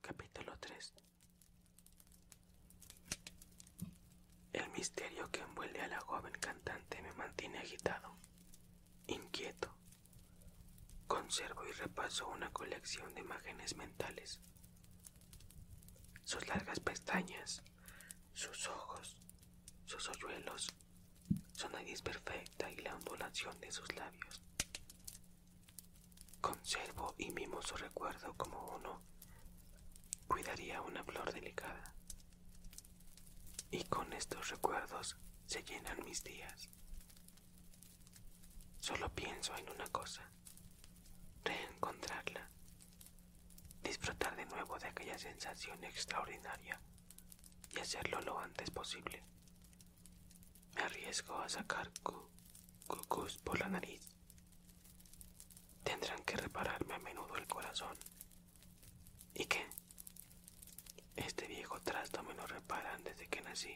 Capítulo 3 El misterio que envuelve a la joven cantante me mantiene agitado, inquieto. Conservo y repaso una colección de imágenes mentales. Sus largas pestañas, sus ojos, sus hoyuelos, su nariz perfecta y la ondulación de sus labios. Conservo y mimo su recuerdo como uno cuidaría una flor delicada. Y con estos recuerdos se llenan mis días. Solo pienso en una cosa, reencontrarla, disfrutar de nuevo de aquella sensación extraordinaria y hacerlo lo antes posible. Me arriesgo a sacar cu por la nariz. Tendrán que repararme a menudo el corazón. ¿Y qué? Este viejo trasto me lo reparan desde que nací.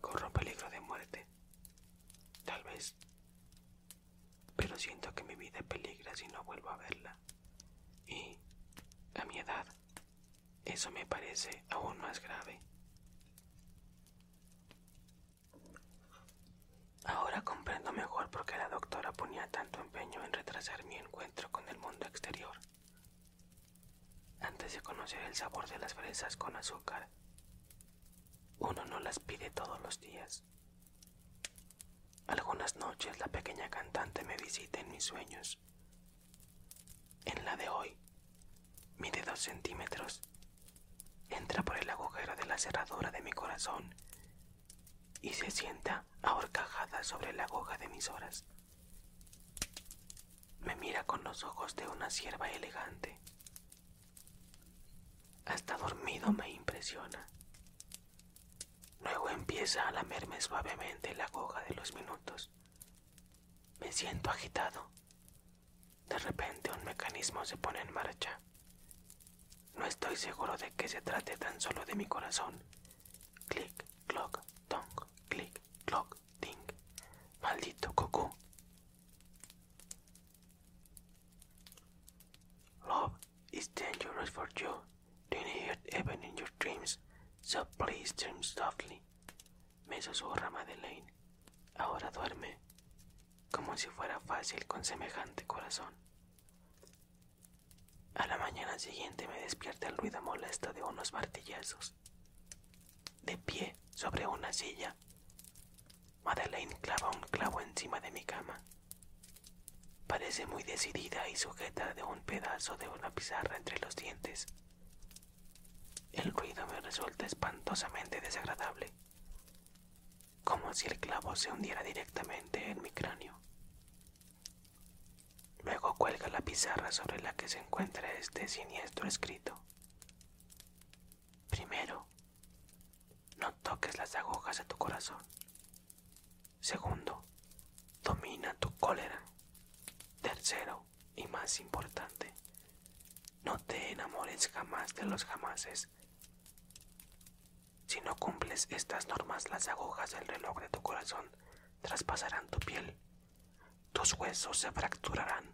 Corro peligro de muerte. Tal vez. Pero siento que mi vida es peligra si no vuelvo a verla. Y, a mi edad, eso me parece aún más grave. Ahora comprendo mejor por qué la doctora ponía tanto empeño en retrasar mi encuentro con el mundo exterior. Antes de conocer el sabor de las fresas con azúcar, uno no las pide todos los días. Algunas noches la pequeña cantante me visita en mis sueños en la de hoy, mide dos centímetros. Entra por el agujero de la cerradura de mi corazón y se sienta ahorcajada sobre la aguja de mis horas. Me mira con los ojos de una sierva elegante. Hasta dormido me impresiona. Luego empieza a lamerme suavemente la aguja de los minutos. Me siento agitado. De repente un mecanismo se pone en marcha. No estoy seguro de que se trate tan solo de mi corazón. Click, clock, tong, click, clock, ting. Maldito cucú. Love is dangerous for you. Do you even in your dreams? So please dream softly, me susurra Madeleine. Ahora duerme, como si fuera fácil con semejante corazón. A la mañana siguiente me despierta el ruido molesto de unos martillazos. De pie, sobre una silla, Madeleine clava un clavo encima de mi cama. Parece muy decidida y sujeta de un pedazo de una pizarra entre los dientes. El ruido me resulta espantosamente desagradable, como si el clavo se hundiera directamente en mi cráneo. Luego cuelga la pizarra sobre la que se encuentra este siniestro escrito. Primero, no toques las agujas de tu corazón. Segundo, domina tu cólera. Tercero, y más importante, no te enamores jamás de los jamases. Si no cumples estas normas, las agujas del reloj de tu corazón traspasarán tu piel, tus huesos se fracturarán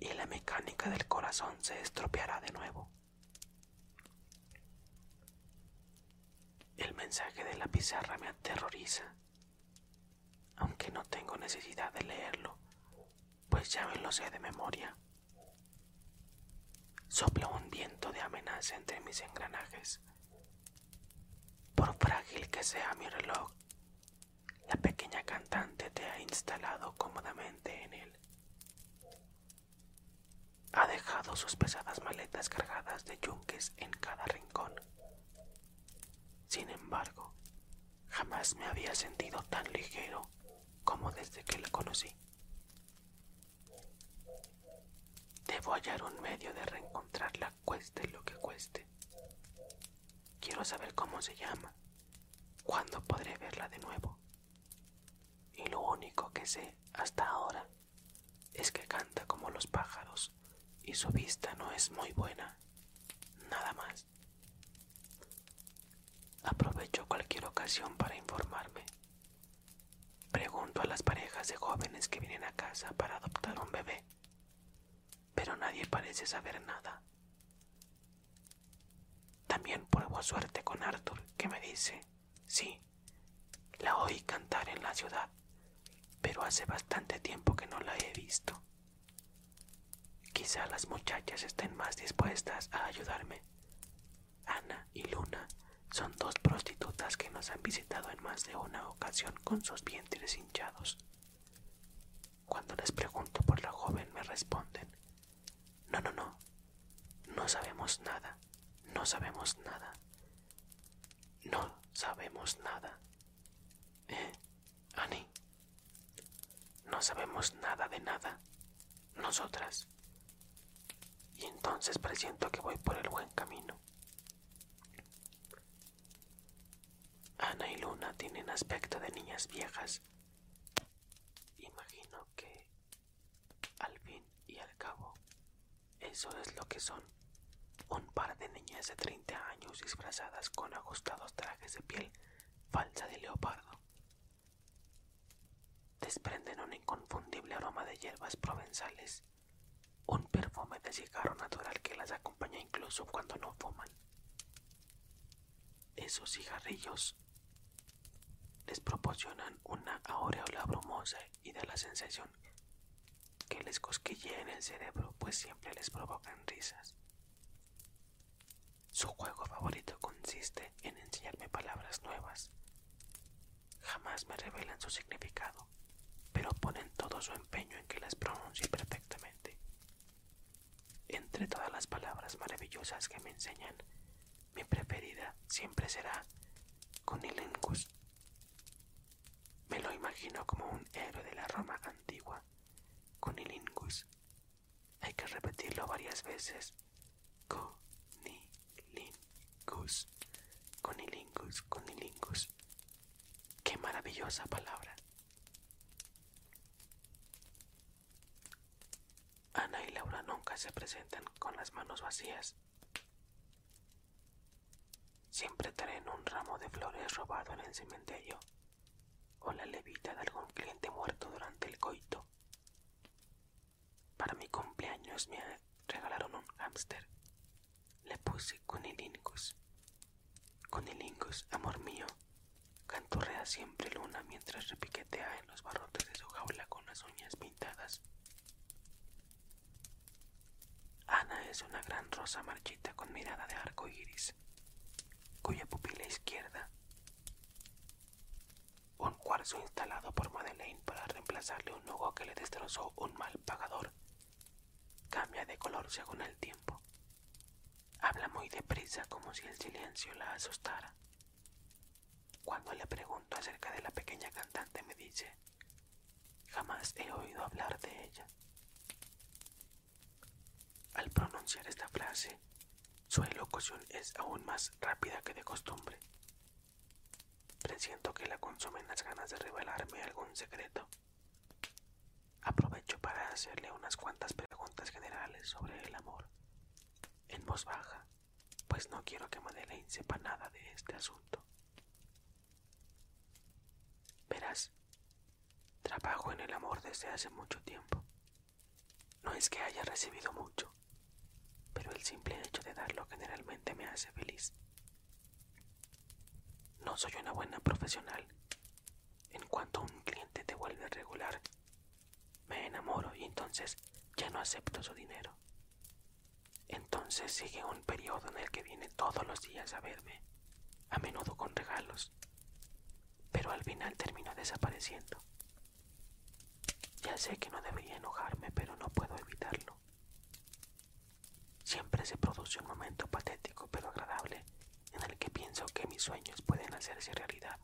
y la mecánica del corazón se estropeará de nuevo. El mensaje de la pizarra me aterroriza aunque no tengo necesidad de leerlo, pues ya me lo sé de memoria. Sopla un viento de amenaza entre mis engranajes. Por frágil que sea mi reloj, la pequeña cantante te ha instalado cómodamente en él. Ha dejado sus pesadas maletas cargadas de yunques en cada rincón. Sin embargo, jamás me había sentido tan ligero como desde que la conocí. Debo hallar un medio de reencontrarla cueste lo que cueste. Quiero saber cómo se llama, cuándo podré verla de nuevo. Y lo único que sé hasta ahora es que canta como los pájaros y su vista no es muy buena, nada más. Aprovecho cualquier ocasión para informarme. Pregunto a las parejas de jóvenes que vienen a casa para adoptar un bebé, pero nadie parece saber nada. También pruebo suerte con Arthur, que me dice, sí, la oí cantar en la ciudad pero hace bastante tiempo que no la he visto. Quizá las muchachas estén más dispuestas a ayudarme. Ana y Luna son dos prostitutas que nos han visitado en más de una ocasión con sus vientres hinchados. Cuando les pregunto por la joven me responden, no, no, no, no sabemos nada, no sabemos nada, no sabemos nada, eh, Annie, no sabemos nada de nada, nosotras. Y entonces presiento que voy por el buen camino. Ana y Luna tienen aspecto de niñas viejas. Imagino que, al fin y al cabo, eso es lo que son. Un par de niñas de 30 años disfrazadas con ajustados trajes de piel falsa de leopardo. Desprenden un inconfundible aroma de hierbas provenzales, un perfume de cigarro natural que las acompaña incluso cuando no fuman. Esos cigarrillos les proporcionan una aureola brumosa y de la sensación que les en el cerebro, pues siempre les provocan risas. Su juego favorito consiste en enseñarme palabras nuevas. Jamás me revelan su significado, pero ponen todo su empeño en que las pronuncie perfectamente. Entre todas las palabras maravillosas que me enseñan, mi preferida siempre será conilingus. Me lo imagino como un héroe de la Roma antigua, conilingus. Hay que repetirlo varias veces. Conilingus, conilingus, conilingus. Qué maravillosa palabra. Ana y Laura nunca se presentan con las manos vacías. Siempre traen un ramo de flores robado en el cementerio o la levita de algún cliente muerto durante el coito. Para mi cumpleaños me regalaron un hámster. Le puse Cunilingus. Cunilingus, amor mío, canturrea siempre Luna mientras repiquetea en los barrotes de su jaula con las uñas pintadas. Ana es una gran rosa marchita con mirada de arco iris, cuya pupila izquierda, un cuarzo instalado por Madeleine para reemplazarle un nudo que le destrozó un mal pagador, cambia de color según el tiempo. Habla muy deprisa como si el silencio la asustara. Cuando le pregunto acerca de la pequeña cantante me dice Jamás he oído hablar de ella. Al pronunciar esta frase, su elocución es aún más rápida que de costumbre. Presiento que la consumen las ganas de revelarme algún secreto. Aprovecho para hacerle unas cuantas preguntas generales sobre el amor, en voz baja, pues no quiero que Madeleine sepa nada de este asunto. Verás, trabajo en el amor desde hace mucho tiempo. No es que haya recibido mucho, pero el simple hecho de darlo generalmente me hace feliz. No soy una buena profesional. En cuanto un cliente te vuelve regular, me enamoro y entonces ya no acepto su dinero. Entonces sigue un periodo en el que viene todos los días a verme, a menudo con regalos, pero al final termina desapareciendo. Ya sé que no debería enojarme, pero no puedo evitarlo. Siempre se produce un momento patético pero agradable en el que pienso que mis sueños pueden hacerse realidad.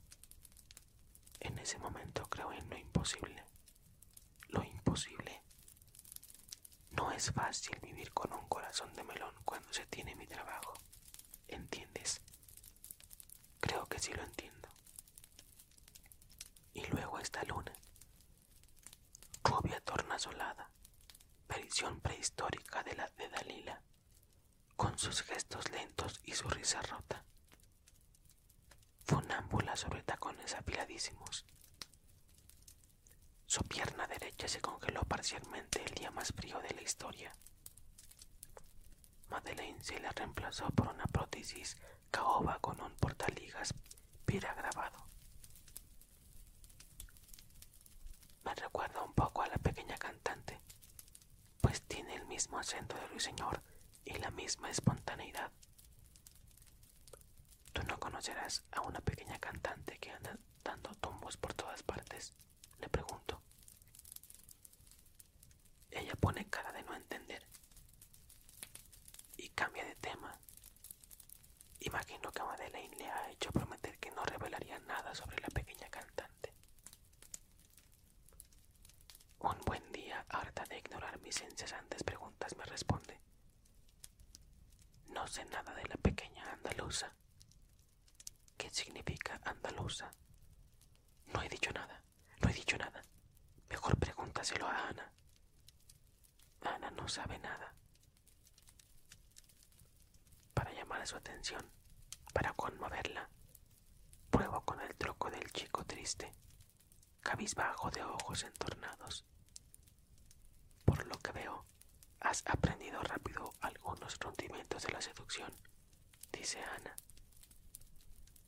En ese momento creo en lo imposible. Lo imposible. No es fácil vivir con un corazón de melón cuando se tiene mi trabajo. ¿Entiendes? Creo que sí lo entiendo. Y luego esta luna, rubia tornasolada, Prisión prehistórica de la de Dalila, con sus gestos lentos y su risa rota. Funámbula sobre tacones apiladísimos. Su pierna derecha se congeló parcialmente el día más frío de la historia. Madeleine se la reemplazó por una prótesis caoba con un portaligas grabado. Me recuerda un poco a la pequeña cantante, pues tiene el mismo acento de Señor y la misma espontaneidad. Tú no conocerás a una pequeña cantante que anda dando tumbos por todas partes, le pregunto. Ella pone cara de no entender y cambia de tema. Imagino que Madeleine le ha hecho prometer que no revelaría nada sobre la pequeña cantante. Un buen día, harta de ignorar mis incesantes preguntas, me responde. No sé nada de la pequeña andaluza. ¿Qué significa andaluza? No he dicho nada, no he dicho nada. Mejor pregúntaselo a Ana. Ana no sabe nada. Para llamar su atención, para conmoverla, pruebo con el troco del chico triste, cabizbajo de ojos entornados, por lo que veo, has aprendido rápido algunos rendimientos de la seducción, dice Ana.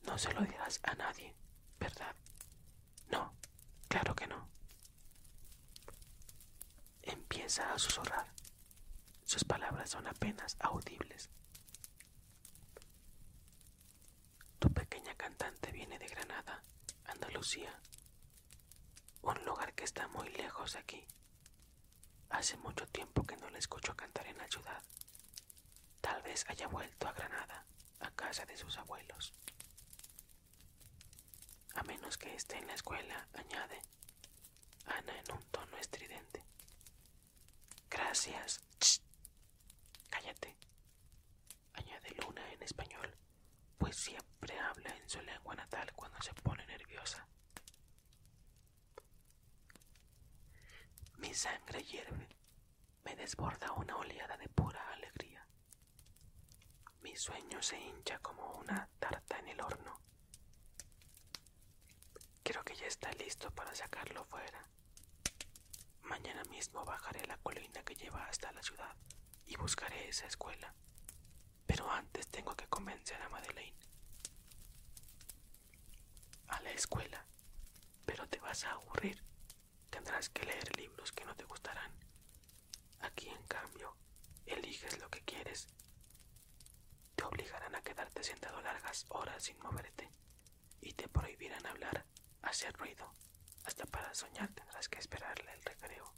No se lo dirás a nadie, ¿verdad? No, claro que no. Empieza a susurrar. Sus palabras son apenas audibles. Tu pequeña cantante viene de Granada, Andalucía, un lugar que está muy lejos de aquí. Hace mucho tiempo que no le escucho cantar en la ciudad. Tal vez haya vuelto a Granada, a casa de sus abuelos. A menos que esté en la escuela, añade Ana en un tono estridente. Gracias. Cállate añade Luna en español, pues siempre habla en su lengua natal cuando se pone nerviosa. Mi sangre hierve, me desborda una oleada de pura alegría. Mi sueño se hincha como una tarta en el horno. Creo que ya está listo para sacarlo fuera. Mañana mismo bajaré la colina que lleva hasta la ciudad y buscaré esa escuela. Pero antes tengo que convencer a Madeleine. A la escuela. Pero te vas a aburrir. Tendrás que leer libros que no te gustarán. Aquí, en cambio, eliges lo que quieres. Te obligarán a quedarte sentado largas horas sin moverte y te prohibirán hablar, hacer ruido hasta para soñar tendrás que esperarle el recreo.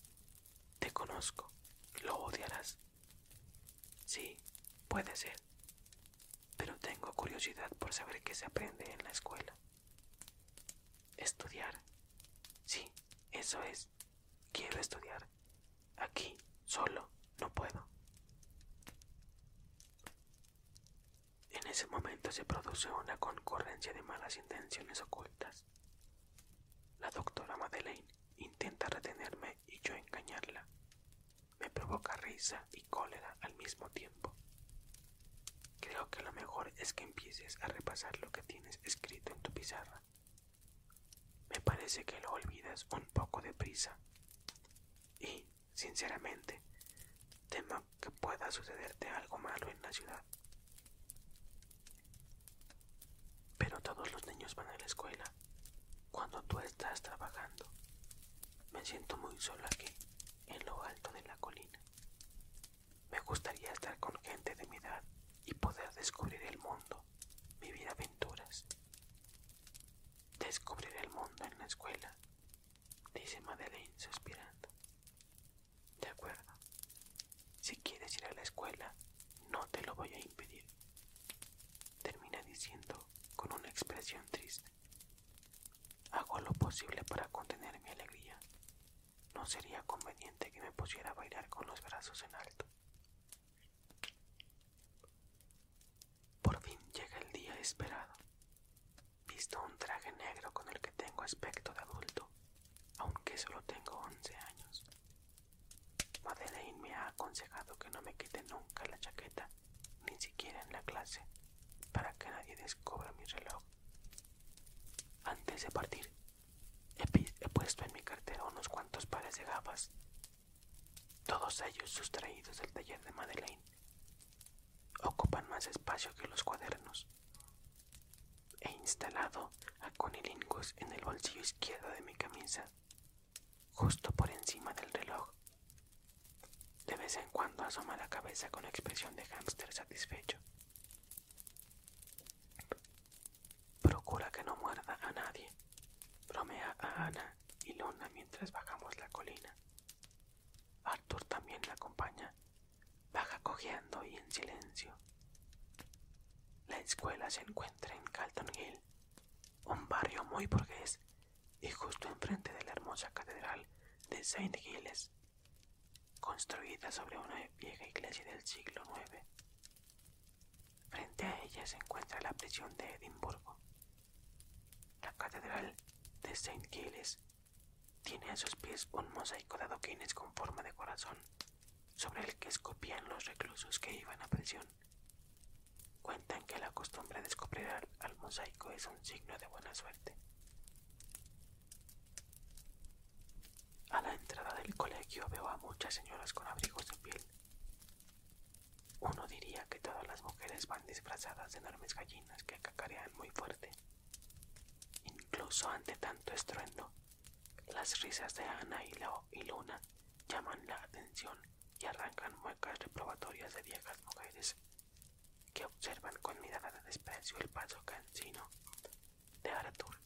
Te conozco, lo odiarás. Sí, puede ser. Pero tengo curiosidad por saber qué se aprende en la escuela. Estudiar. Sí, eso es. Quiero estudiar. Aquí, solo, no puedo. En ese momento se produce una concurrencia de malas intenciones ocultas. La doctora Madeleine intenta retenerme y yo engañarla. Me provoca risa y cólera al mismo tiempo. Creo que lo mejor es que empieces a repasar lo que tienes escrito en tu pizarra. Me parece que lo olvidas un poco de prisa Y, sinceramente, temo que pueda sucederte algo malo en la ciudad. Pero todos los niños van a la escuela cuando tú estás trabajando. Me siento muy solo aquí, en lo alto de la colina. Me gustaría estar con gente de mi edad y poder descubrir el mundo, vivir aventuras. Descubrir el mundo en la escuela, dice Madeleine suspirando. De acuerdo. Si quieres ir a la escuela, no te lo voy a impedir. Termina diciendo con una expresión triste. Hago lo posible para contener mi alegría. No sería conveniente que me pusiera a bailar con los brazos en alto. Por fin llega el día esperado. Visto un traje negro con el que tengo aspecto de adulto, aunque solo tengo 11 años. Madeleine me ha aconsejado que no me quite nunca la chaqueta, ni siquiera en la clase, para que nadie descubra mi reloj. Antes de partir, he, puesto en mi cartera unos cuantos pares de gafas, todos ellos sustraídos del taller de Madeleine. Ocupan más espacio que los cuadernos. He instalado a Conilingus en el bolsillo izquierdo de mi camisa, justo por encima del reloj. De vez en cuando asoma la cabeza con expresión de hámster satisfecho. Procura que no muerda a nadie. Bromea a Ana y Lona mientras bajamos la colina. Arthur también la acompaña Baja cojeando y en silencio. La escuela se encuentra en Calton Hill, un barrio muy burgués y justo enfrente de la hermosa catedral de St. Giles, construida sobre una vieja iglesia del siglo IX. Frente a ella se encuentra la prisión de Edimburgo. La catedral de St. Giles tiene a sus pies un mosaico de adoquines con forma de corazón, sobre el que escopían los reclusos que iban a prisión. Cuentan que la costumbre de descubrir al, al mosaico es un signo de buena suerte. A la entrada del colegio veo a muchas señoras con abrigos de piel. Uno diría que todas las mujeres van disfrazadas de enormes gallinas que cacarean muy fuerte. Incluso ante tanto estruendo, las risas de Ana y, Luna llaman la atención y arrancan muecas reprobatorias de viejas mujeres que observan con mirada de desprecio el paso cansino de Aratur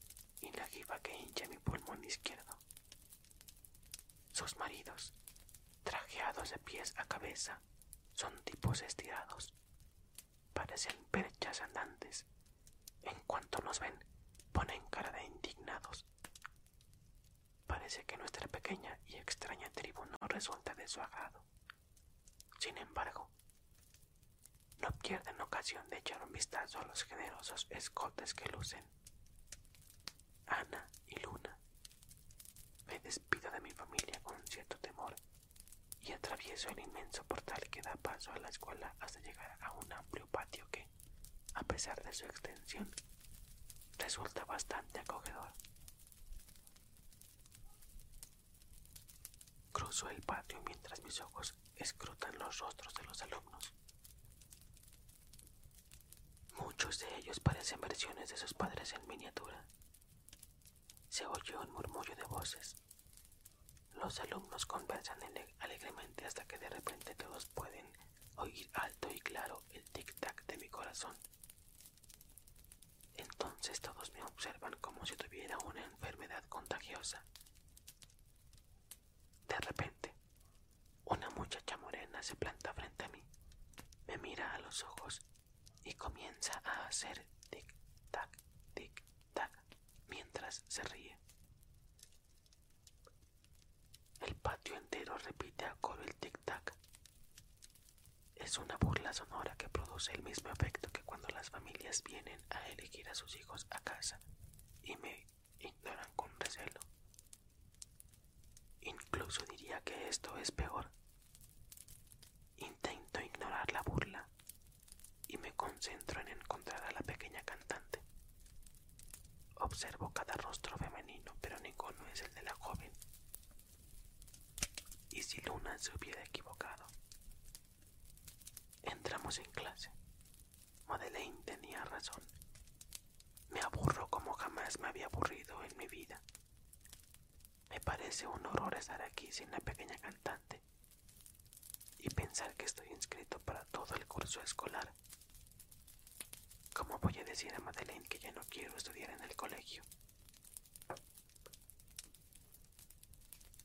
y la jifa que hincha mi pulmón izquierdo. Sus maridos, trajeados de pies a cabeza, son tipos estirados, parecen perchas andantes. En cuanto nos ven, ponen cara de indignados. Parece que nuestra pequeña y extraña tribu no resulta de su agrado. Sin embargo, no pierden ocasión de echar un vistazo a los generosos escotes que lucen. Ana y Luna. Me despido de mi familia con cierto temor y atravieso el inmenso portal que da paso a la escuela hasta llegar a un amplio patio que, a pesar de su extensión, resulta bastante acogedor. Cruzo el patio mientras mis ojos escrutan los rostros de los alumnos. Muchos de ellos parecen versiones de sus padres en miniatura. Se oyó un murmullo de voces los alumnos conversan alegremente hasta que de repente todos pueden oír alto y claro el tic-tac de mi corazón. Entonces todos me observan como si tuviera una enfermedad contagiosa. De repente, una muchacha morena se planta frente a mí, me mira a los ojos y comienza a hacer tic-tac, tic-tac tac, mientras se ríe. El patio entero repite a coro el tic-tac. Es una burla sonora que produce el mismo efecto que cuando las familias vienen a elegir a sus hijos a casa y me ignoran con recelo. Incluso diría que esto es peor. Intento ignorar la burla, y me concentro en encontrar a la pequeña cantante. Observo cada rostro femenino, pero ninguno es el de la joven. ¿Y si Luna se hubiera equivocado? Entramos en clase. Madeleine tenía razón. Me aburro como jamás me había aburrido en mi vida. Me parece un horror estar aquí sin la pequeña cantante y pensar que estoy inscrito para todo el curso escolar. ¿Cómo voy a decir a Madeleine que ya no quiero estudiar en el colegio?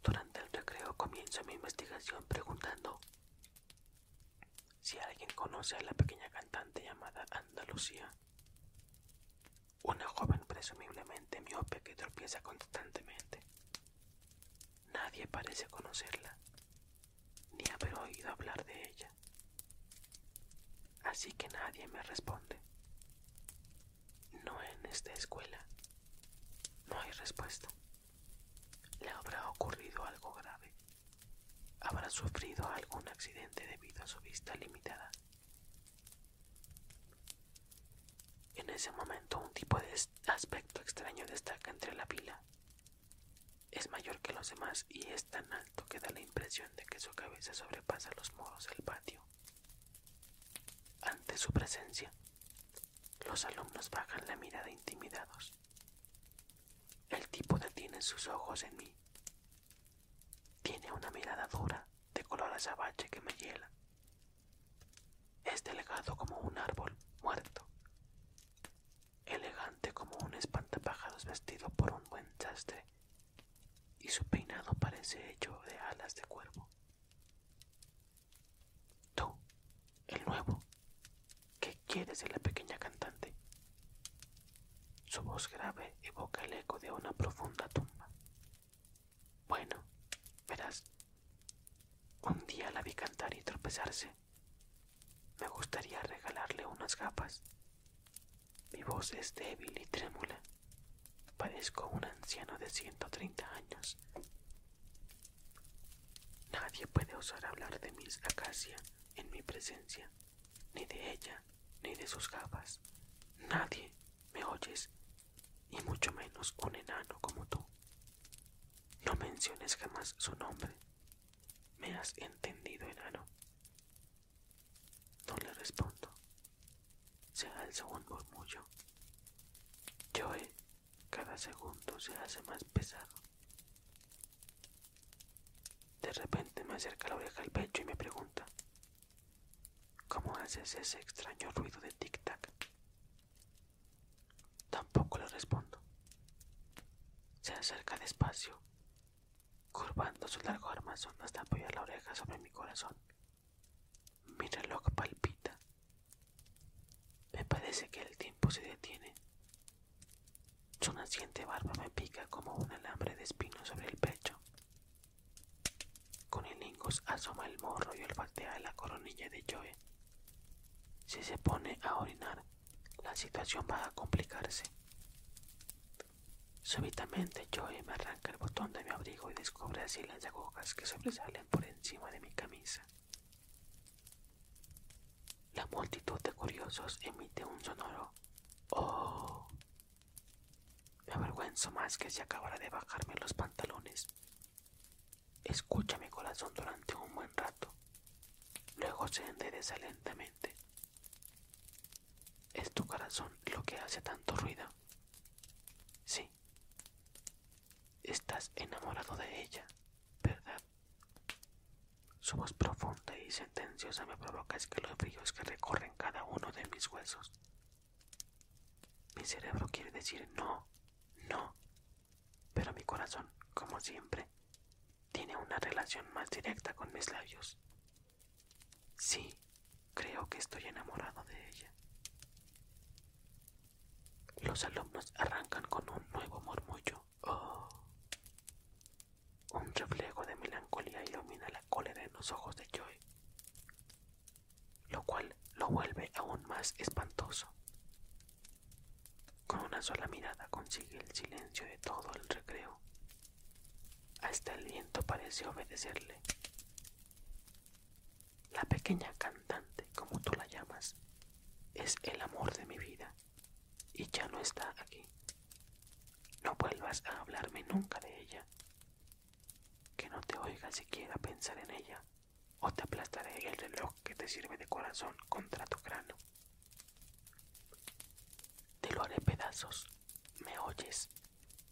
Durante el recreo comienzo mi investigación preguntando si alguien conoce a la pequeña cantante llamada Andalucía una joven presumiblemente miope que tropieza constantemente. Nadie parece conocerla, ni haber oído hablar de ella. Así que nadie me responde. No en esta escuela. No hay respuesta. Le habrá ocurrido algo grave. Habrá sufrido algún accidente debido a su vista limitada. En ese momento un tipo de aspecto extraño destaca entre la pila. Es mayor que los demás y es tan alto que da la impresión de que su cabeza sobrepasa los muros del patio. Ante su presencia, los alumnos bajan la mirada intimidados. El tipo detiene sus ojos en mí. Tiene una mirada dura, de color azabache que me hiela, es este delgado como un árbol muerto, elegante como un espantapájaros vestido por un buen sastre, y su peinado parece hecho de alas de cuervo. Tú, el nuevo, ¿qué quieres de la pequeña cantante? Su voz grave evoca el eco de una profunda tumba. Bueno, verás, un día la vi cantar y tropezarse. Me gustaría regalarle unas gafas. Mi voz es débil y trémula. Parezco un anciano de 130 años. Nadie puede osar hablar de Miss Acacia en mi presencia, ni de ella, ni de sus gafas. Nadie, ¿Me oyes? Y mucho menos un enano como tú. No menciones jamás su nombre. ¿Me has entendido, enano? No le respondo. Se alza un murmullo. Joe eh, cada segundo se hace más pesado. De repente me acerca la oreja al pecho y me pregunta, ¿Cómo haces ese extraño ruido de tic-tac? Tampoco le respondo. Se acerca despacio, curvando su largo armazón hasta apoyar la oreja sobre mi corazón. Mi reloj palpita. Me parece que el tiempo se detiene. Su naciente barba me pica como un alambre de espino sobre el pecho. Con el lingus asoma el morro y de la coronilla de Joey Si se pone a orinar, la situación va a complicarse. Súbitamente Joey me arranca el botón de mi abrigo y descubre así las agujas que sobresalen por encima de mi camisa. La multitud de curiosos emite un sonoro Oh me avergüenzo más que si acabara de bajarme los pantalones. Escucha mi corazón durante un buen rato. Luego se endereza lentamente. ¿Es tu corazón lo que hace tanto ruido? Sí. Estás enamorado de ella, ¿verdad? Su voz profunda y sentenciosa me provoca escalofríos que recorren cada uno de mis huesos. Mi cerebro quiere decir no, no, pero mi corazón, como siempre, tiene una relación más directa con mis labios. Sí, creo que estoy enamorado de ella. Los alumnos arrancan con un nuevo murmullo. Oh. Un reflejo de melancolía ilumina la cólera en los ojos de Joy lo cual lo vuelve aún más espantoso. Con una sola mirada consigue el silencio de todo el recreo. Hasta el viento parece obedecerle. La pequeña cantante, como tú la llamas, es el amor de mi vida y ya no está aquí. No vuelvas a hablarme nunca de ella, que no te oiga siquiera pensar en ella, o te aplastaré el reloj que te sirve de corazón contra tu cráneo. Te lo haré pedazos, ¿me oyes?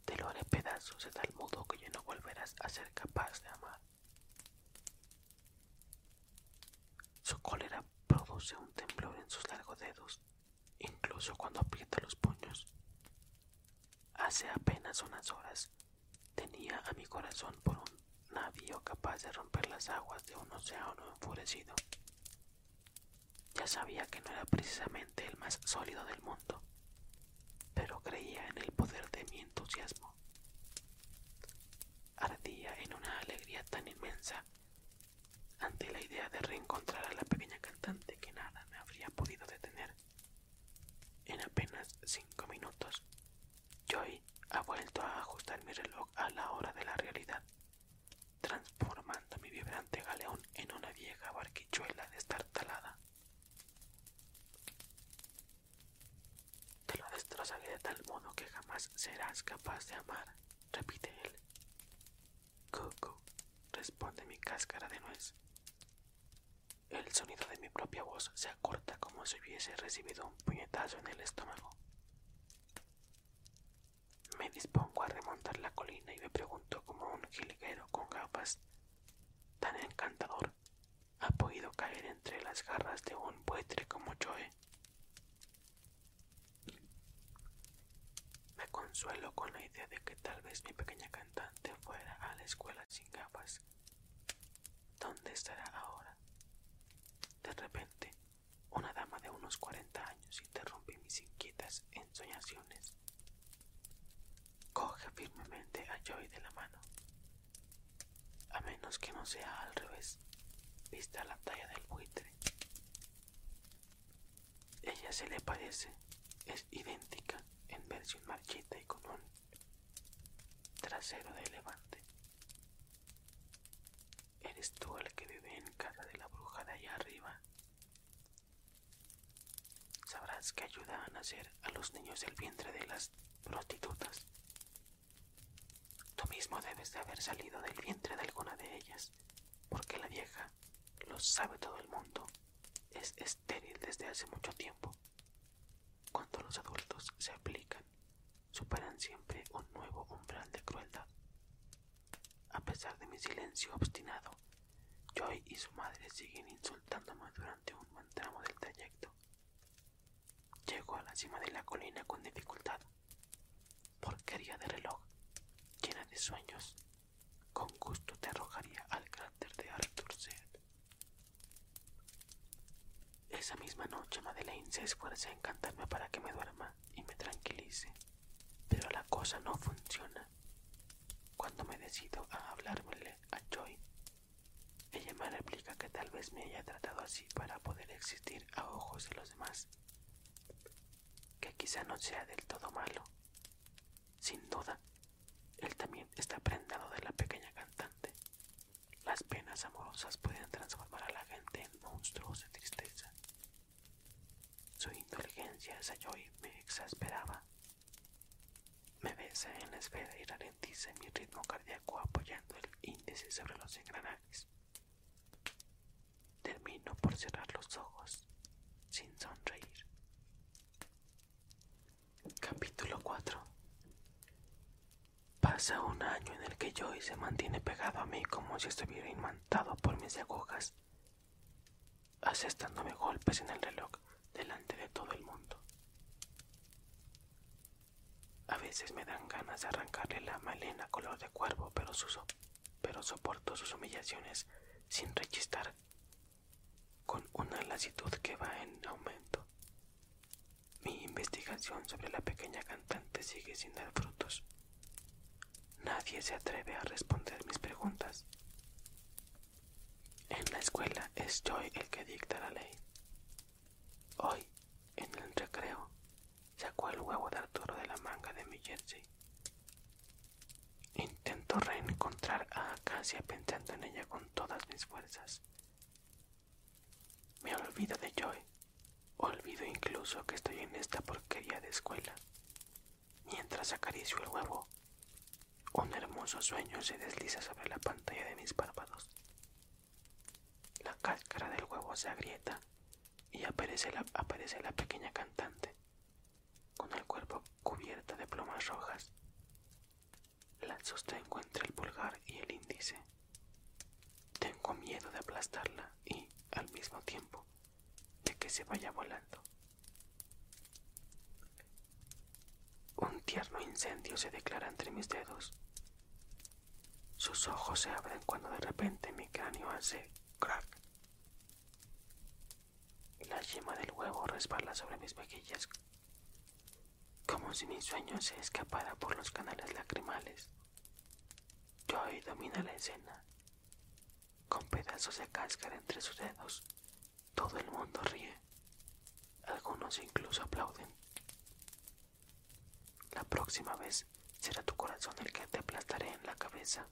Te lo haré pedazos de tal modo que ya no volverás a ser capaz de amar. Su cólera produce un temblor en sus largos dedos, incluso cuando aprieta los puños. Hace apenas unas horas tenía a mi corazón por un navío capaz de romper las aguas de un océano enfurecido. Ya sabía que no era precisamente el más sólido del mundo, pero creía en el poder de mi entusiasmo. Ardía en una alegría tan inmensa ante la idea de reencontrar a la pequeña cantante que nada me habría podido detener en apenas cinco minutos, Joy ha vuelto a ajustar mi reloj a la hora de la realidad, transformando mi vibrante galeón en una vieja barquichuela destartalada. Te lo destrozaré de tal modo que jamás serás capaz de amar, repite él. Coco, responde mi cáscara de nuez. El sonido de mi propia voz se acorta como si hubiese recibido un puñetazo en el estómago. Me dispongo a remontar la colina y me pregunto cómo un jilguero con gafas tan encantador ha podido caer entre las garras de un buitre como yo. Me consuelo con la idea de que tal vez mi pequeña canción fuera a la escuela sin gafas. ¿Dónde estará ahora? De repente, una dama de unos 40 años interrumpe mis inquietas ensoñaciones. Coge firmemente a Joey de la mano. A menos que no sea al revés, vista la talla del buitre. Ella se le parece, es idéntica en versión marchita y común, trasero de levante. ¿Eres tú el que vive en casa de la bruja de allá arriba? Sabrás que ayuda a nacer a los niños el vientre de las prostitutas. Tú mismo debes de haber salido del vientre de alguna de ellas, porque la vieja lo sabe todo el mundo. Es desde hace mucho tiempo. Cuando los adultos se aplican, superan siempre un nuevo umbral de crueldad. A pesar de mi silencio obstinado, Joy y su madre siguen insultándome durante un buen tramo del trayecto. Llego a la cima de la colina con dificultad. Porquería de reloj, llena de sueños, con gusto te arrojaría al cráter de Arthur C. Esa misma noche Madeleine se esfuerza en cantarme para que me duerma y me tranquilice, pero la cosa no funciona. Cuando me decido a hablármele a Joy, ella me replica que tal vez me haya tratado así para poder existir a ojos de los demás, que quizá no sea del todo malo, sin duda, él también está prendado de la pequeña cantante. Las penas amorosas pueden transformar a la gente en monstruos de tristeza. Su inteligencia, hacia y me exasperaba. Me besa en la esfera y ralentiza mi ritmo cardíaco apoyando el índice sobre los engranajes. Termino por cerrar los ojos sin sonreír. Capítulo 4 Pasa un año en el que Joy se mantiene pegado a mí como si estuviera imantado por mis agujas, asestándome golpes en el reloj delante de todo el mundo. A veces me dan ganas de arrancarle la melena color de cuervo, pero soporto sus humillaciones sin rechistar con una lasitud que va en aumento. Mi investigación sobre la pequeña cantante sigue sin dar frutos. Nadie se atreve a responder mis preguntas. En la escuela es el que dicta la ley. Hoy, en el recreo, sacó el huevo de Arturo de la manga de mi jersey Intento reencontrar a Acacia pensando en ella con todas mis fuerzas. Me olvido de Joy. Olvido incluso que estoy en esta porquería de escuela. Mientras acaricio el huevo, un hermoso sueño se desliza sobre la pantalla de mis párpados. La cáscara del huevo se agrieta y aparece la pequeña cantante, con el cuerpo cubierta de plumas rojas. La sostengo entre el pulgar y el índice. Tengo miedo de aplastarla y, al mismo tiempo, de que se vaya volando. Un tierno incendio se declara entre mis dedos. Sus ojos se abren cuando de repente mi cráneo hace crack. La yema del huevo resbala sobre mis mejillas como si mi sueño se escapara por los canales lacrimales. hoy domina la escena. Con pedazos de cáscara entre sus dedos, todo el mundo ríe. Algunos incluso aplauden. La próxima vez será tu corazón el que te aplastaré en la cabeza.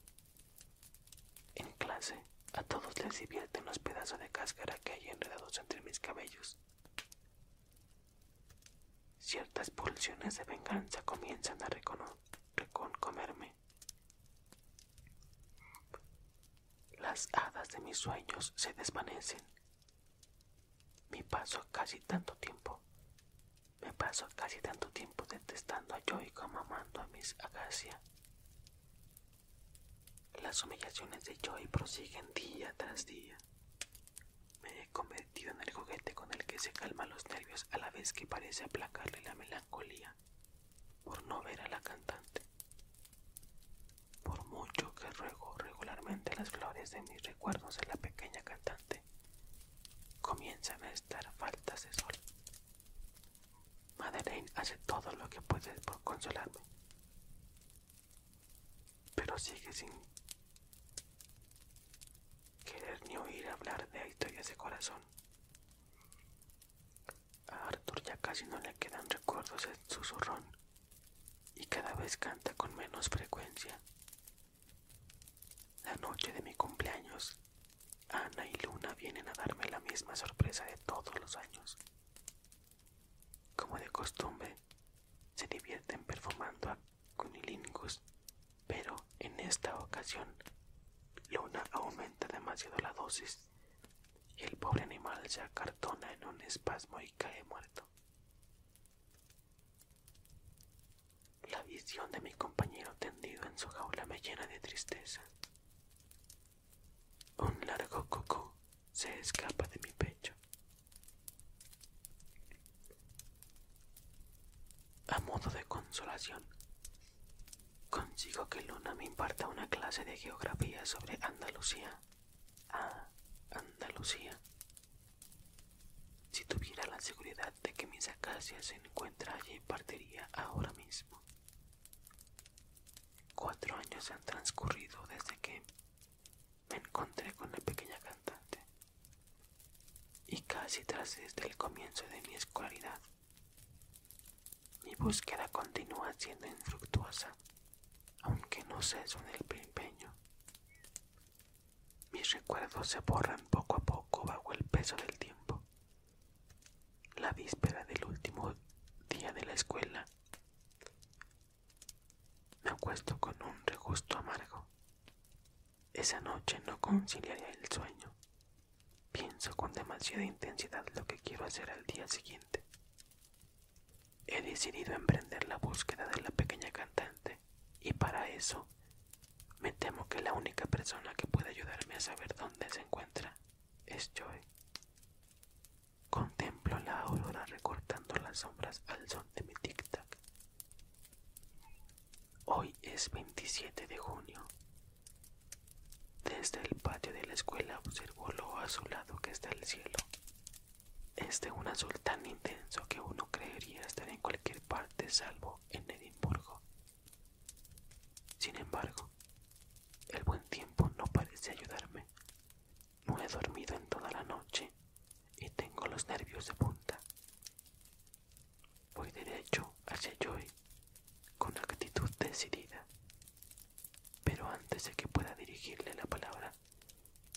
En clase, a todos les divierten los pedazos de cáscara que hay enredados entre mis cabellos. Ciertas pulsiones de venganza comienzan a reconcomerme. Las hadas de mis sueños se desvanecen. Me paso casi tanto tiempo. Me paso casi tanto tiempo detestando a Joy como amando a mis Agacia. Las humillaciones de Joy prosiguen día tras día. Me he convertido en el juguete con el que se calma los nervios a la vez que parece aplacarle la melancolía por no ver a la cantante. Por mucho que ruego regularmente las flores de mis recuerdos a la pequeña cantante, comienzan a estar faltas de sol. Madeleine hace todo lo que puede por consolarme, pero sigue sin querer ni oír hablar de historias de corazón. A Arthur ya casi no le quedan recuerdos en susurrón y cada vez canta con menos frecuencia. La noche de mi cumpleaños Ana y Luna vienen a darme la misma sorpresa de todos los años. Como de costumbre, se divierten perfumando a Cunilingus, pero en esta ocasión, Luna aumenta demasiado la dosis y el pobre animal se acartona en un espasmo y cae muerto. La visión de mi compañero tendido en su jaula me llena de tristeza. Un largo cucú se escapa de mi pecho. A modo de consolación, consigo que Luna me imparta una clase de geografía sobre Andalucía. Ah, Andalucía. Si tuviera la seguridad de que mis acacias se encuentra allí, partiría ahora mismo. Cuatro años han transcurrido desde que me encontré con la pequeña cantante y casi tras desde el comienzo de mi escolaridad. Mi búsqueda continúa siendo infructuosa, aunque no ceso en el empeño. Mis recuerdos se borran poco a poco bajo el peso del tiempo la víspera del último día de la escuela, me acuesto con un regusto amargo. Esa noche no conciliaré el sueño. Pienso con demasiada intensidad lo que quiero hacer al día siguiente. He decidido emprender la búsqueda de la pequeña cantante y para eso me temo que la única persona que puede ayudarme a saber dónde se encuentra es Contemplo la aurora recortando las sombras al son de mi tic-tac. Hoy es 27 de junio. Desde el patio de la escuela observo lo azulado que está el cielo. Es de un azul tan intenso que uno creería estar en cualquier parte salvo en Edimburgo. Sin embargo, el buen tiempo no parece ayudarme. No he dormido en toda la noche y tengo los nervios de punta. Voy derecho hacia Joy con actitud decidida, pero antes de que pueda dirigirle la palabra,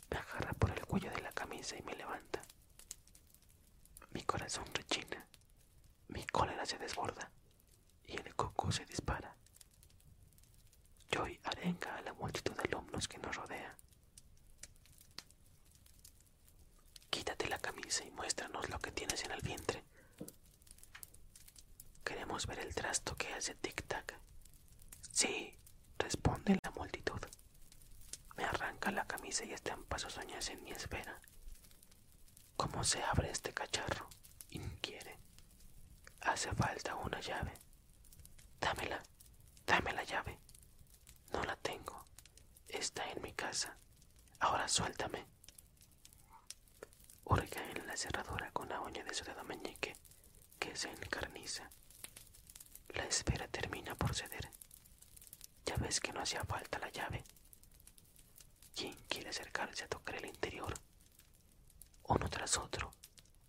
me agarra por el cuello de la camisa y me levanta. Mi corazón rechina, mi cólera se desborda y el coco se dispara. Joy arenga a la multitud de alumnos que nos rodea. Quítate la camisa y muéstranos lo que tienes en el vientre. Queremos ver el trasto que hace tic-tac. Sí, responde la multitud. Me arranca la camisa y estampa pasos uñas en mi esfera ¿Cómo se abre este cacharro? inquiere. Hace falta una llave. Dámela, dame la llave. No la tengo. Está en mi casa. Ahora suéltame. Hurga en la cerradura con la uña de su dedo meñique, que se encarniza. La espera termina por ceder. Ya ves que no hacía falta la llave. ¿Quién quiere acercarse a tocar el interior? Uno tras otro,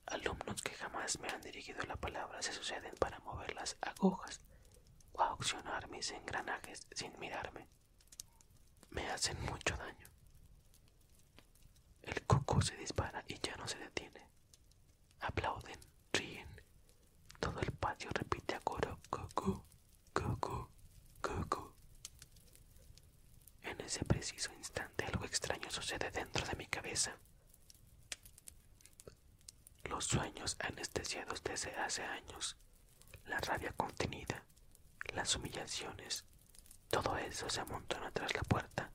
alumnos que jamás me han dirigido la palabra se suceden para mover las agujas o accionar mis engranajes sin mirarme. Me hacen mucho daño. El cucú se dispara y ya no se detiene. Aplauden, ríen. Todo el patio repite a coro cucú Coco, Coco. En ese preciso instante algo extraño sucede dentro de mi cabeza. Los sueños anestesiados desde hace años, la rabia contenida, las humillaciones, todo eso se amontona tras la puerta.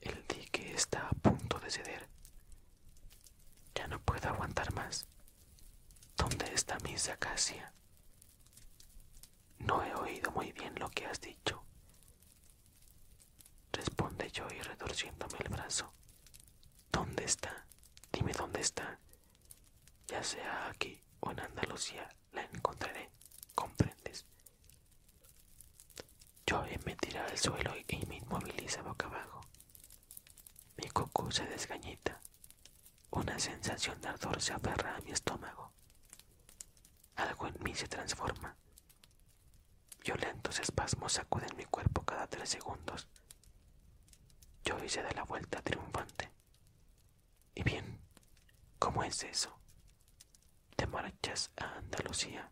El dique está a punto de ceder. Ya no puedo aguantar más. ¿Dónde está mi sacacia? No he oído muy bien lo que has dicho, responde yo y retorciéndome el brazo. ¿Dónde está? Dime dónde está. Ya sea aquí o en Andalucía, la encontraré, comprendes. Yo me tira al suelo y me inmoviliza boca abajo. Mi coco se desgañita, una sensación de ardor se aferra a mi estómago. Algo en mí se transforma. Violentos espasmos sacuden mi cuerpo cada tres segundos. Yo hice de la vuelta triunfante. Y bien, ¿cómo es eso? Te marchas a Andalucía,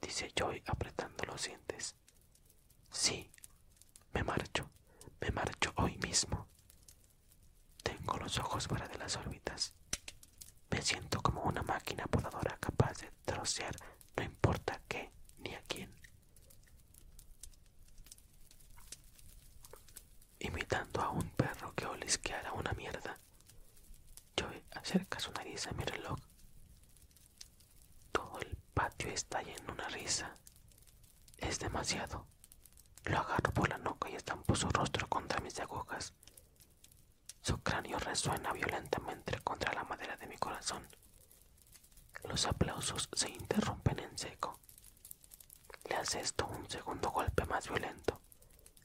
dice Joy apretando los dientes. Sí, me marcho, me marcho hoy mismo. Tengo los ojos fuera de las órbitas. Me siento como una máquina podadora capaz de trocear no importa qué ni a quién. Imitando a un perro que olisqueara una mierda, Joey acerca su nariz a mi reloj. Todo el patio estalla en una risa. Es demasiado. Lo agarro por la nuca y estampo su rostro contra mis agujas. Su cráneo resuena violentamente contra la madera de mi corazón. Los aplausos se interrumpen en seco. Le esto un segundo golpe más violento,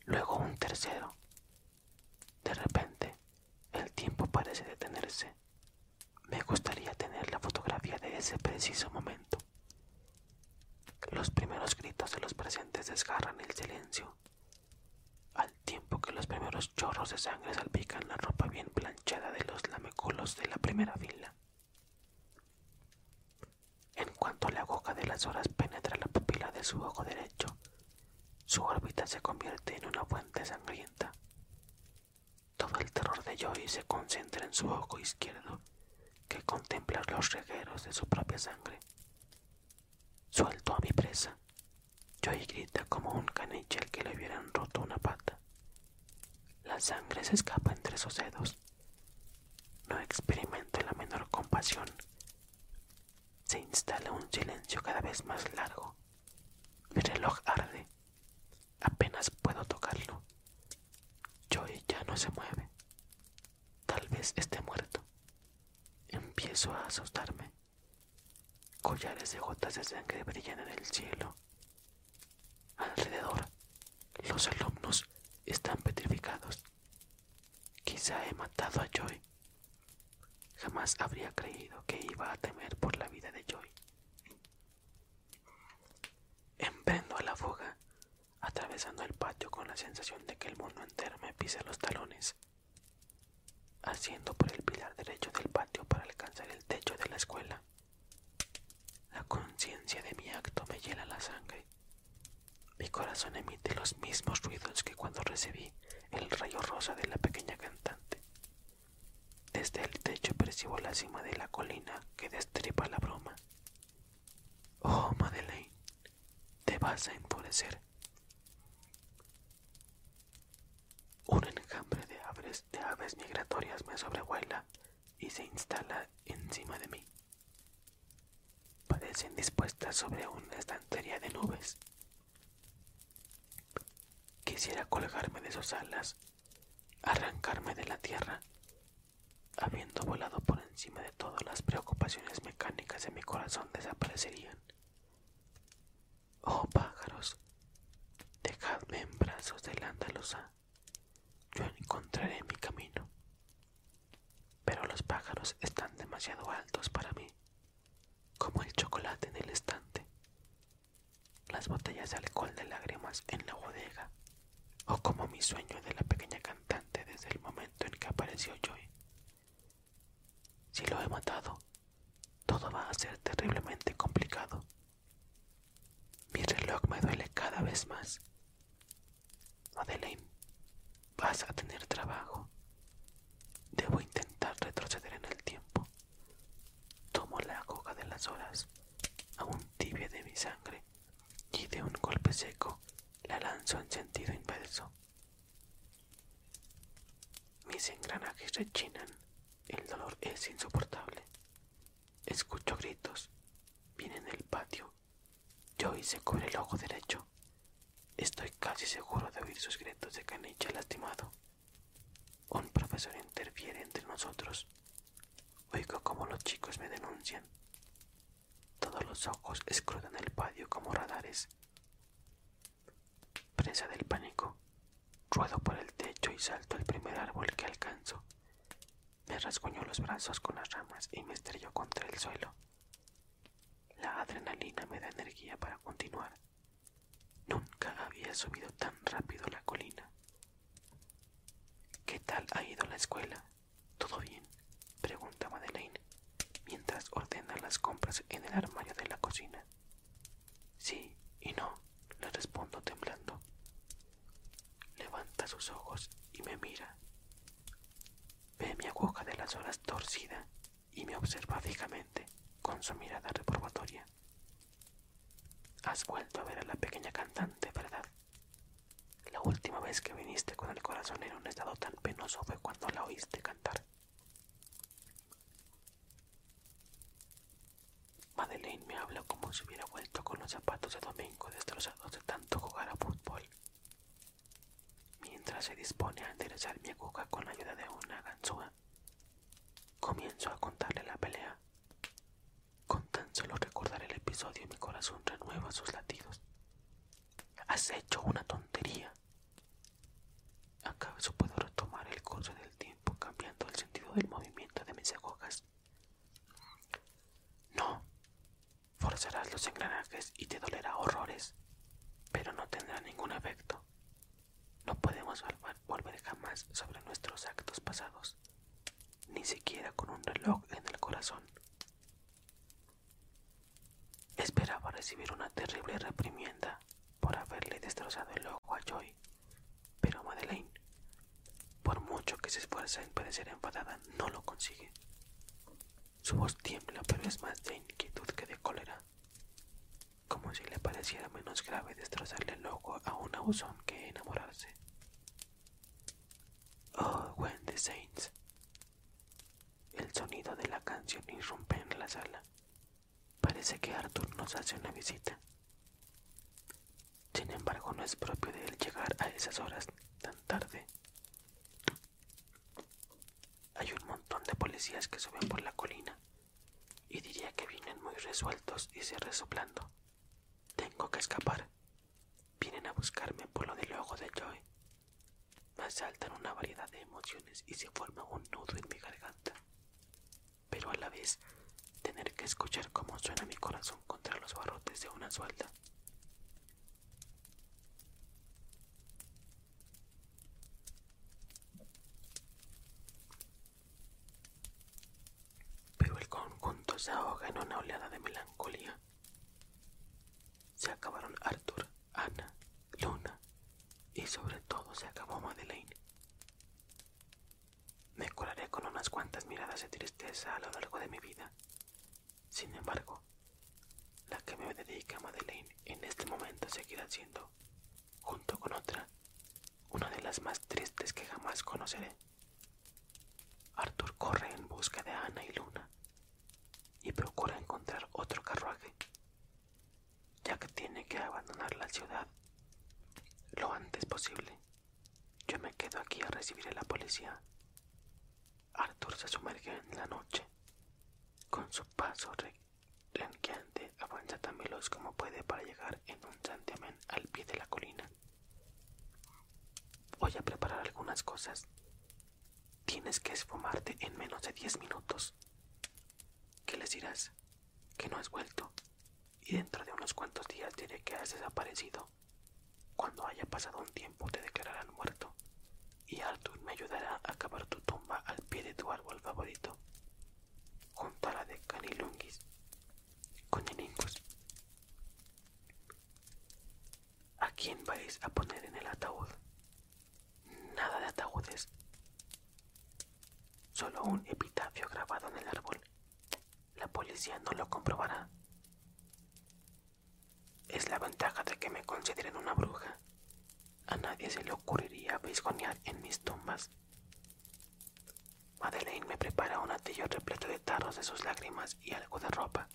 luego un tercero. De repente, el tiempo parece detenerse. Me gustaría tener la fotografía de ese preciso momento. Los primeros gritos de los presentes desgarran el silencio, al tiempo que los primeros chorros de sangre salpican la ropa bien planchada de los lameculos de la primera fila. En cuanto la boca de las horas penetra la pupila de su ojo derecho, su órbita se convierte en una fuente sangrienta. Todo el terror de Joey se concentra en su ojo izquierdo, que contempla los regueros de su propia sangre. Suelto a mi presa. Joey grita como un caniche al que le hubieran roto una pata. La sangre se escapa entre sus dedos. No experimento la menor compasión. Se instala un silencio cada vez más largo. Mi reloj arde. Apenas puedo tocarlo. Joy ya no se mueve. Tal vez esté muerto. Empiezo a asustarme. Collares de gotas de sangre brillan en el cielo. Alrededor, los alumnos están petrificados. Quizá he matado a Joy. Jamás habría creído que iba a temer por la vida de Joy. Emprendo a la fuga, atravesando el patio con la sensación de que el mundo entero me pisa los talones, haciendo por el pilar derecho del patio para alcanzar el techo de la escuela. La conciencia de mi acto me hiela la sangre. Mi corazón emite los mismos ruidos que cuando recibí el rayo rosa de la pequeña cantante. Desde el techo percibo la cima de la colina que destripa la broma. Oh, Madeleine, te vas a empobrecer. Un enjambre de aves, de aves migratorias me sobrevuela y se instala encima de mí. Parecen dispuestas sobre una estantería de nubes. Quisiera colgarme de sus alas arrancarme de la tierra, habiendo volado por encima de todas las preocupaciones mecánicas de mi corazón desaparecerían. Oh pájaros, dejadme en brazos de la andaluza, yo encontraré mi camino. Pero los pájaros están demasiado altos para mí, como el chocolate en el estante, las botellas de alcohol de lágrimas en la bodega, o como mi sueño de la pequeña cantante desde el momento en que apareció Joey Si lo he matado, todo va a ser terriblemente complicado. Mi reloj me duele cada vez más. Madeleine, vas a tener trabajo. Debo intentar retroceder en el tiempo. Tomo la coca de las olas, aún tibia de mi sangre, y de un golpe seco la lanzo en sentido inverso. Mis engranajes rechinan, el dolor es insoportable. Escucho gritos, viene del patio. hice cubre el ojo derecho. Estoy casi seguro de oír sus gritos de caniche lastimado. Un profesor interfiere entre nosotros. Oigo cómo los chicos me denuncian. Todos los ojos escrutan el patio como radares. Presa del pánico, ruedo por el techo y salto al primer árbol que alcanzo. Me rasguñó los brazos con las ramas y me estrelló contra el suelo. La adrenalina me da energía para continuar. Nunca había subido tan rápido la colina. ¿Qué tal ha ido la escuela? ¿Todo bien? pregunta Madeleine mientras ordena las compras en el armario de la cocina. Sí y no, le respondo temblando. Levanta sus ojos y me mira. Ve mi aguja de las horas torcida y me observa fijamente con su mirada reprobatoria. Has vuelto a ver a la pequeña cantante, ¿verdad? La última vez que viniste con el corazón en un estado tan penoso fue cuando la oíste cantar. Madeleine me habla como si hubiera vuelto con los zapatos de domingo destrozados de tanto jugar a fútbol. Mientras se dispone a enderezar mi aguja con la ayuda de una ganzúa, comienzo a contarle la pelea con tan solo recordar el episodio mi corazón renueva sus latidos. Has hecho una tontería. ¿Acaso puedo retomar el curso del tiempo cambiando el sentido del movimiento de mis agujas? No. Forzarás los engranajes y te dolerá horrores, pero no tendrá ningún efecto. No podemos volver jamás sobre nuestros actos pasados, ni siquiera con un reloj en el corazón. Esperaba recibir una terrible reprimienda por haberle destrozado el ojo a Joy, pero Madeleine, por mucho que se esfuerza en parecer enfadada, no lo consigue. Su voz tiembla, pero es más de inquietud que de cólera como si le pareciera menos grave destrozarle el ojo a un abusón que enamorarse. Oh, Wendy the saints. El sonido de la canción irrumpe en la sala. Parece que Arthur nos hace una visita. Sin embargo, no es propio de él llegar a esas horas tan tarde. Hay un montón de policías que suben por la colina y diría que vienen muy resueltos y se resoplando. Tengo que escapar. Vienen a buscarme por lo del ojo de Joy. Me asaltan una variedad de emociones y se forma un nudo en mi garganta. Pero a la vez, tener que escuchar cómo suena mi corazón contra los barrotes de una suelta pero el conjunto se ahoga en una oleada de melancolía. Se acabaron Arthur, Ana, Luna y sobre todo se acabó Madeleine. Me colaré con unas cuantas miradas de tristeza a lo largo de mi vida. Sin embargo, la que me dedica Madeleine en este momento seguirá siendo, junto con otra, una de las más tristes que jamás conoceré. Arthur corre en busca de Ana y Luna y procura encontrar otro carruaje, ya que tiene que abandonar la ciudad lo antes posible. Yo me quedo aquí a recibir a la policía. Arthur se sumerge en la noche con su paso avanza tan veloz como puede para llegar en un santiamén al pie de la colina. Voy a preparar algunas cosas. Tienes que esfumarte en menos de diez minutos. ¿Qué les dirás? Que no has vuelto. Y dentro de unos cuantos días diré que has desaparecido. Cuando haya pasado un tiempo te declararán muerto. Y Arthur me ayudará a cavar tu tumba al pie de tu árbol favorito junto a la de Canilungis, con ¿A quién vais a poner en el ataúd? Nada de ataúdes. Solo un epitafio grabado en el árbol. La policía no lo comprobará. Es la ventaja de que me consideren una bruja. A nadie se le ocurriría visgonear en mis tumbas Madeleine me prepara un atillo repleto de tarros de sus lágrimas y algo de ropa.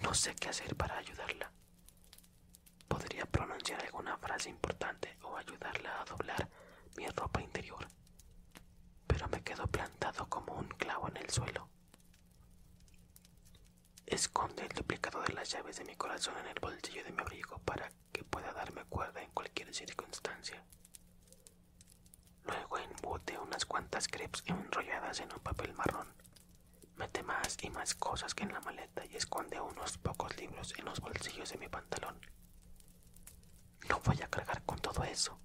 No sé qué hacer para ayudarla. Podría pronunciar alguna frase importante o ayudarla a doblar mi ropa interior, pero me quedo plantado como un clavo en el suelo. Esconde el duplicado de las llaves de mi corazón en el bolsillo de mi abrigo para que pueda darme cuerda en cualquier circunstancia. Luego embute unas cuantas crepes enrolladas en un papel marrón. Mete más y más cosas que en la maleta y esconde unos pocos libros en los bolsillos de mi pantalón. No voy a cargar con todo eso.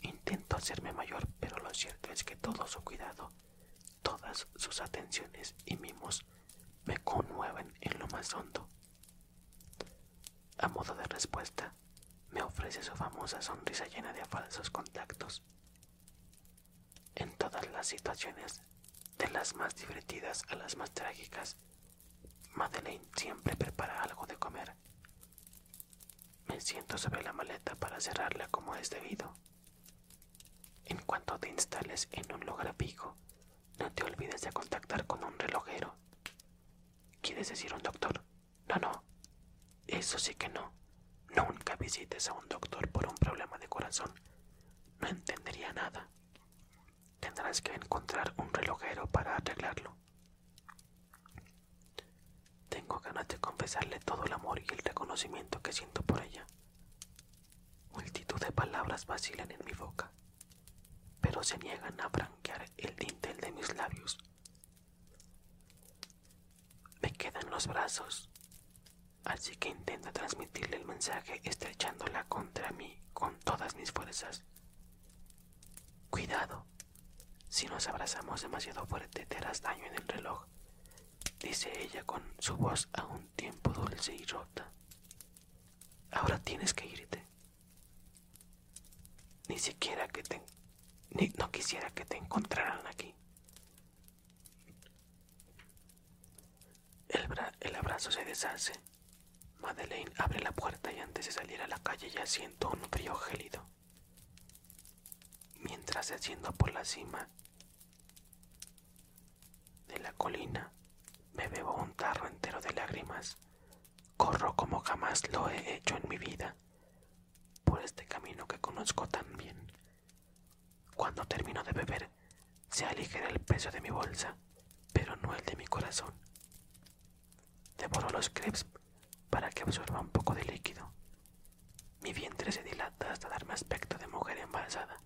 Intento hacerme mayor, pero lo cierto es que todo su cuidado, todas sus atenciones y mimos me conmueven en lo más hondo a modo de respuesta, me ofrece su famosa sonrisa llena de falsos contactos. En todas las situaciones, de las más divertidas a las más trágicas, Madeleine siempre prepara algo de comer. Me siento sobre la maleta para cerrarla como es debido. En cuanto te instales en un lugar pico, no te olvides de contactar con un relojero. ¿Quieres decir un doctor? No, no. Eso sí que no. Nunca visites a un doctor por un problema de corazón. No entendería nada. Tendrás que encontrar un relojero para arreglarlo. Tengo ganas de confesarle todo el amor y el reconocimiento que siento por ella. Multitud de palabras vacilan en mi boca, pero se niegan a franquear el dintel de mis labios. Me quedan los brazos, así que intento transmitirle el mensaje estrechándola contra mí con todas mis fuerzas. Cuidado, si nos abrazamos demasiado fuerte te harás daño en el reloj, dice ella con su voz a un tiempo dulce y rota. Ahora tienes que irte. Ni siquiera que te... no quisiera que te encontraran aquí. El, el abrazo se deshace. Madeleine abre la puerta y antes de salir a la calle ya siento un frío gélido. Mientras se haciendo por la cima, de la colina me bebo un tarro entero de lágrimas. Corro como jamás lo he hecho en mi vida, por este camino que conozco tan bien. Cuando termino de beber, se aligera el peso de mi bolsa, pero no el de mi corazón. Devoro los crepes para que absorba un poco de líquido. Mi vientre se dilata hasta darme aspecto de mujer embarazada.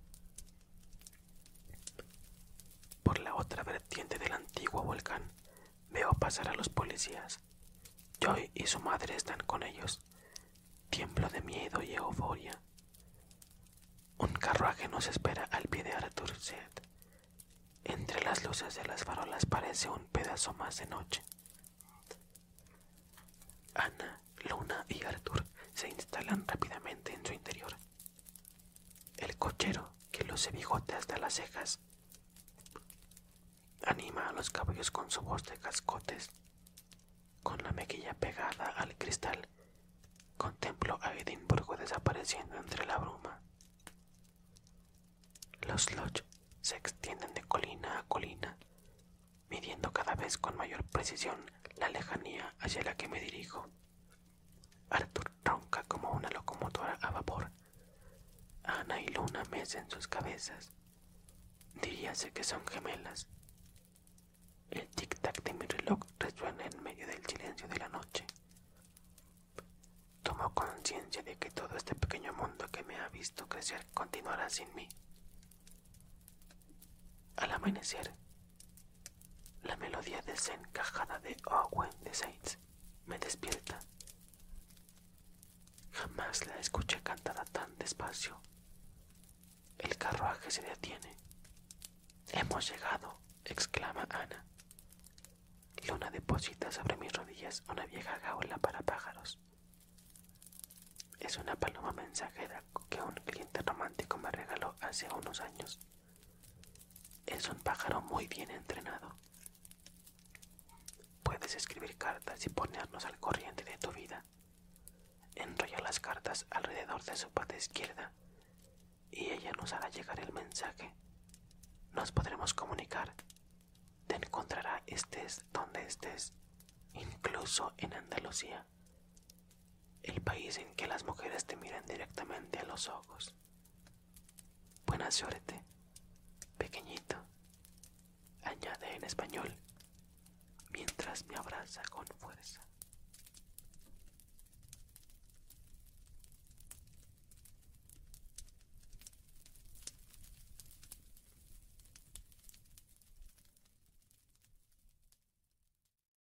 Por la otra vertiente del antiguo volcán veo pasar a los policías. Joy y su madre están con ellos. Tiemblo de miedo y euforia. Un carruaje nos espera al pie de Arthur Seth. Entre las luces de las farolas parece un pedazo más de noche. Ana, Luna y Arthur se instalan rápidamente en su interior el cochero, que los bigote hasta las cejas, anima a los caballos con su voz de cascotes. Con la mejilla pegada al cristal, contemplo a Edimburgo desapareciendo entre la bruma. Los lodge se extienden de colina a colina, midiendo cada vez con mayor precisión la lejanía hacia la que me dirijo. Arthur ronca como una locomotora a vapor. Ana y Luna en sus cabezas. Diríase que son gemelas. El tic-tac de mi reloj resuena en medio del silencio de la noche. Tomo conciencia de que todo este pequeño mundo que me ha visto crecer continuará sin mí. Al amanecer, la melodía desencajada de Owen oh, de Saints me despierta. Jamás la escuché cantada tan despacio. El carruaje se detiene. Hemos llegado, exclama Ana. Luna deposita sobre mis rodillas una vieja jaula para pájaros. Es una paloma mensajera que un cliente romántico me regaló hace unos años. Es un pájaro muy bien entrenado. Puedes escribir cartas y ponernos al corriente de tu vida. Enrolla las cartas alrededor de su pata izquierda y ella nos hará llegar el mensaje. Nos podremos comunicar. Te encontrará estés donde estés, incluso en Andalucía el país en que las mujeres te miran directamente a los ojos. Buena suerte, pequeñito, añade en español, mientras me abraza con fuerza.